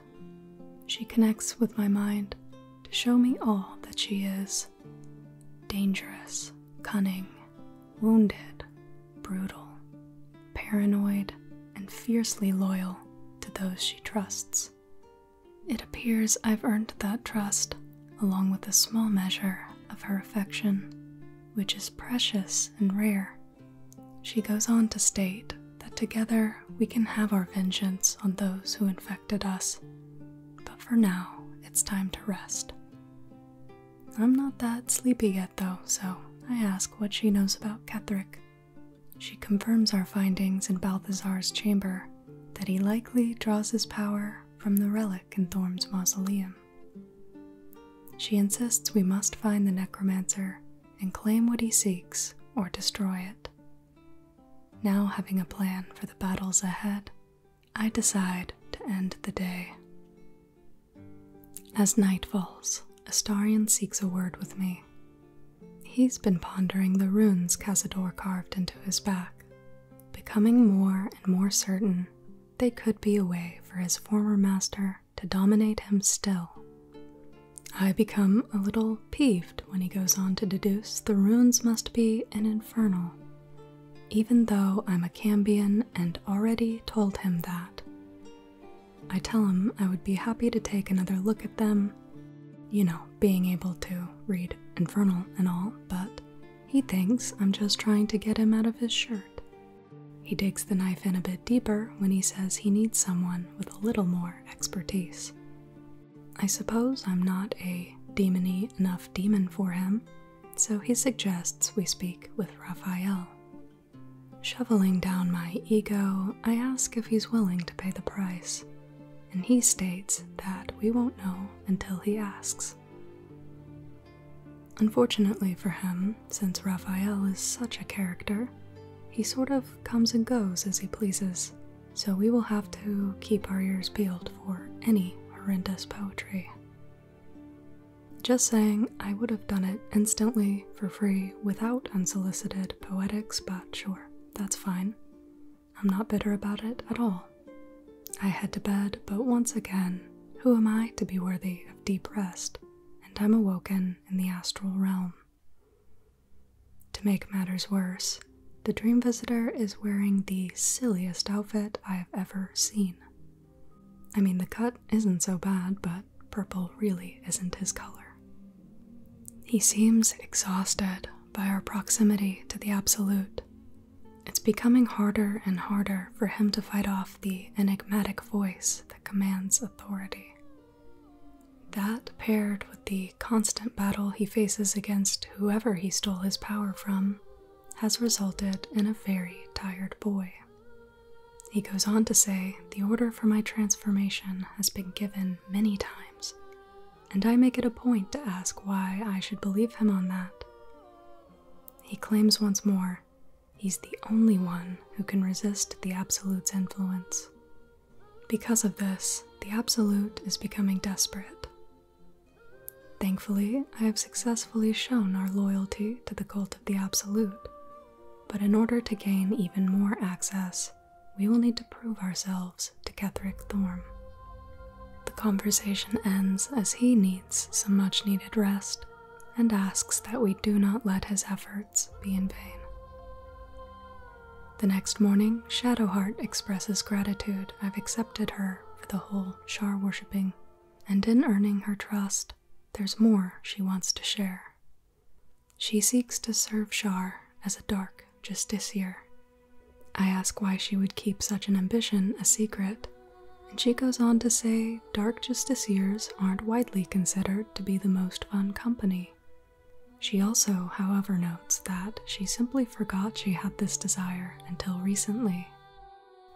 She connects with my mind to show me all that she is dangerous, cunning, wounded, brutal, paranoid, and fiercely loyal to those she trusts. It appears I've earned that trust along with a small measure of her affection, which is precious and rare. She goes on to state that together we can have our vengeance on those who infected us. But for now, it's time to rest. I'm not that sleepy yet, though, so I ask what she knows about Catherick. She confirms our findings in Balthazar's chamber that he likely draws his power from the relic in Thorm's mausoleum. She insists we must find the necromancer and claim what he seeks or destroy it. Now, having a plan for the battles ahead, I decide to end the day. As night falls, Astarian seeks a word with me. He's been pondering the runes Cazador carved into his back, becoming more and more certain they could be a way for his former master to dominate him still. I become a little peeved when he goes on to deduce the runes must be an infernal, even though I'm a cambion and already told him that. I tell him I would be happy to take another look at them, you know, being able to read infernal and all, but he thinks I'm just trying to get him out of his shirt. He digs the knife in a bit deeper when he says he needs someone with a little more expertise. I suppose I'm not a demony enough demon for him, so he suggests we speak with Raphael. Shoveling down my ego, I ask if he's willing to pay the price, and he states that we won't know until he asks. Unfortunately for him, since Raphael is such a character, he sort of comes and goes as he pleases, so we will have to keep our ears peeled for any horrendous poetry. Just saying, I would have done it instantly for free without unsolicited poetics, but sure, that's fine. I'm not bitter about it at all. I head to bed, but once again, who am I to be worthy of deep rest? And I'm awoken in the astral realm. To make matters worse, the dream visitor is wearing the silliest outfit I have ever seen. I mean, the cut isn't so bad, but purple really isn't his color. He seems exhausted by our proximity to the absolute. It's becoming harder and harder for him to fight off the enigmatic voice that commands authority. That, paired with the constant battle he faces against whoever he stole his power from, has resulted in a very tired boy. He goes on to say, The order for my transformation has been given many times, and I make it a point to ask why I should believe him on that. He claims once more, he's the only one who can resist the Absolute's influence, because of this, the Absolute is becoming desperate. Thankfully, I have successfully shown our loyalty to the cult of the Absolute, but in order to gain even more access, we will need to prove ourselves to Ketherick Thorm. The conversation ends as he needs some much needed rest and asks that we do not let his efforts be in vain. The next morning, Shadowheart expresses gratitude I've accepted her for the whole Shar worshipping, and in earning her trust, there's more she wants to share. She seeks to serve Shar as a dark justiciar. I ask why she would keep such an ambition a secret, and she goes on to say dark justiciars aren't widely considered to be the most fun company. She also, however, notes that she simply forgot she had this desire until recently.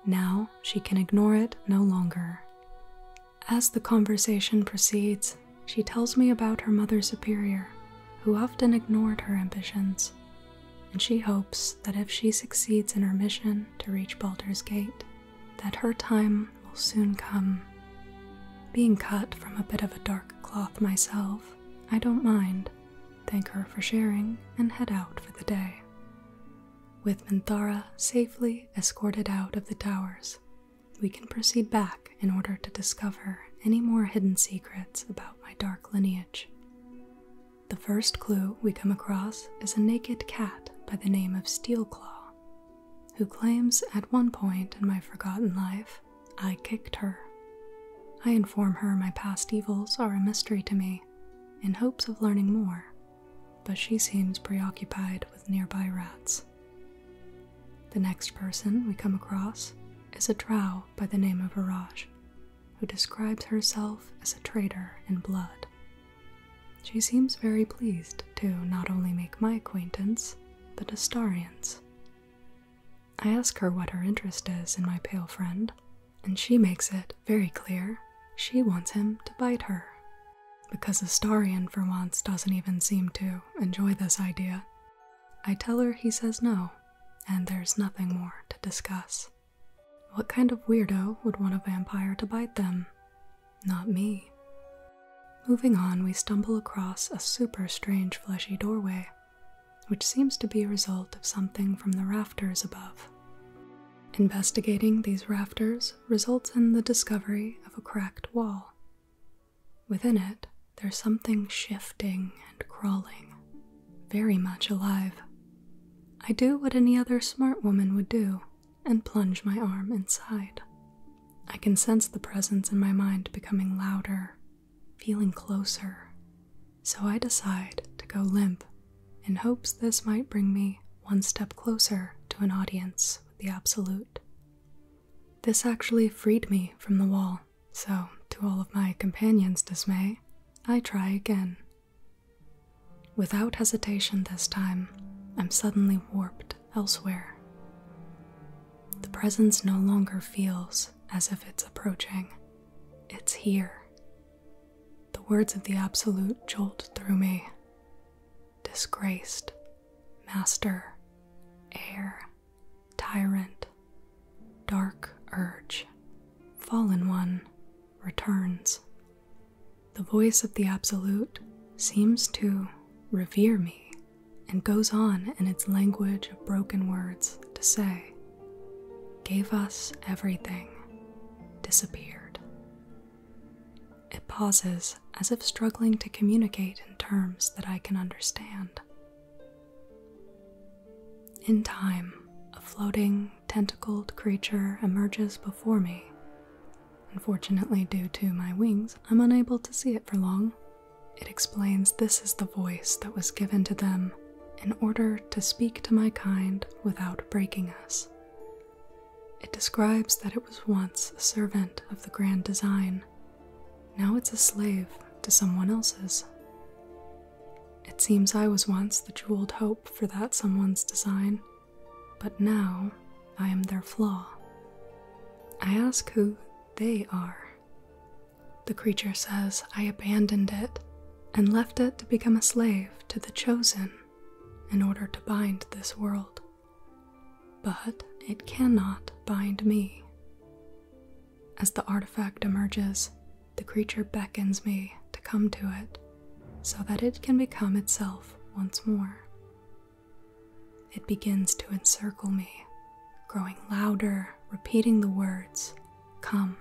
Now she can ignore it no longer. As the conversation proceeds, she tells me about her mother superior, who often ignored her ambitions, and she hopes that if she succeeds in her mission to reach Balder's Gate, that her time will soon come. Being cut from a bit of a dark cloth myself, I don't mind, thank her for sharing, and head out for the day. With Minthara safely escorted out of the towers, we can proceed back in order to discover any more hidden secrets about my dark lineage. The first clue we come across is a naked cat by the name of Steelclaw, who claims at one point in my forgotten life I kicked her. I inform her my past evils are a mystery to me, in hopes of learning more, but she seems preoccupied with nearby rats. The next person we come across is a trow by the name of Araj, who describes herself as a traitor in blood. She seems very pleased to not only make my acquaintance, but Astarian's. I ask her what her interest is in my pale friend, and she makes it very clear she wants him to bite her. Because Starion for once, doesn't even seem to enjoy this idea, I tell her he says no, and there's nothing more to discuss. What kind of weirdo would want a vampire to bite them? Not me. Moving on, we stumble across a super strange fleshy doorway which seems to be a result of something from the rafters above. Investigating these rafters results in the discovery of a cracked wall. Within it, there's something shifting and crawling, very much alive. I do what any other smart woman would do and plunge my arm inside. I can sense the presence in my mind becoming louder feeling closer, so I decide to go limp in hopes this might bring me one step closer to an audience with the Absolute. This actually freed me from the wall, so, to all of my companions' dismay, I try again. Without hesitation this time, I'm suddenly warped elsewhere. The presence no longer feels as if it's approaching. It's here. The words of the Absolute jolt through me. Disgraced, master, heir, tyrant, dark urge, fallen one, returns. The voice of the Absolute seems to revere me and goes on in its language of broken words to say, Gave us everything, disappeared. It pauses as if struggling to communicate in terms that I can understand. In time, a floating, tentacled creature emerges before me. Unfortunately, due to my wings, I'm unable to see it for long, it explains this is the voice that was given to them in order to speak to my kind without breaking us. It describes that it was once a servant of the grand design. Now it's a slave to someone else's. It seems I was once the jeweled hope for that someone's design, but now I am their flaw. I ask who they are. The creature says, I abandoned it and left it to become a slave to the chosen in order to bind this world. But it cannot bind me. As the artifact emerges, the creature beckons me to come to it so that it can become itself once more. It begins to encircle me, growing louder repeating the words, Come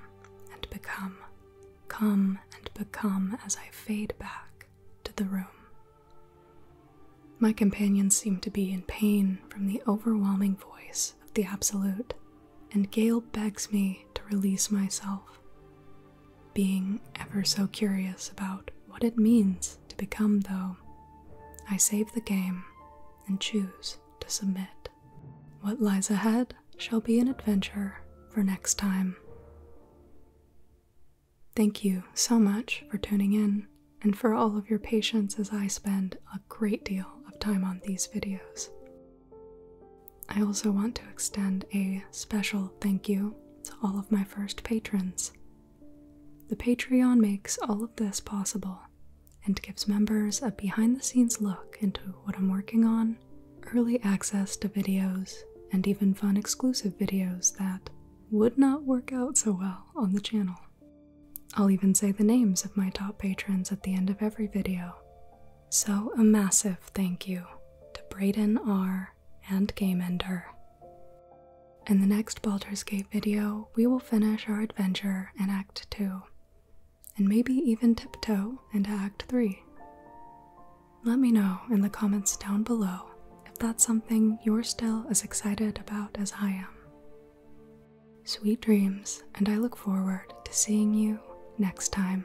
and become, come and become as I fade back to the room. My companions seem to be in pain from the overwhelming voice of the Absolute, and Gale begs me to release myself, being ever so curious about what it means to become, though. I save the game and choose to submit. What lies ahead shall be an adventure for next time. Thank you so much for tuning in and for all of your patience as I spend a great deal of time on these videos. I also want to extend a special thank you to all of my first patrons. The Patreon makes all of this possible, and gives members a behind the scenes look into what I'm working on, early access to videos, and even fun exclusive videos that would not work out so well on the channel. I'll even say the names of my top patrons at the end of every video. So, a massive thank you to Brayden R. and GameEnder. In the next Baldur's Gate video, we will finish our adventure in Act 2 and maybe even tiptoe into Act 3. Let me know in the comments down below if that's something you're still as excited about as I am. Sweet dreams, and I look forward to seeing you next time.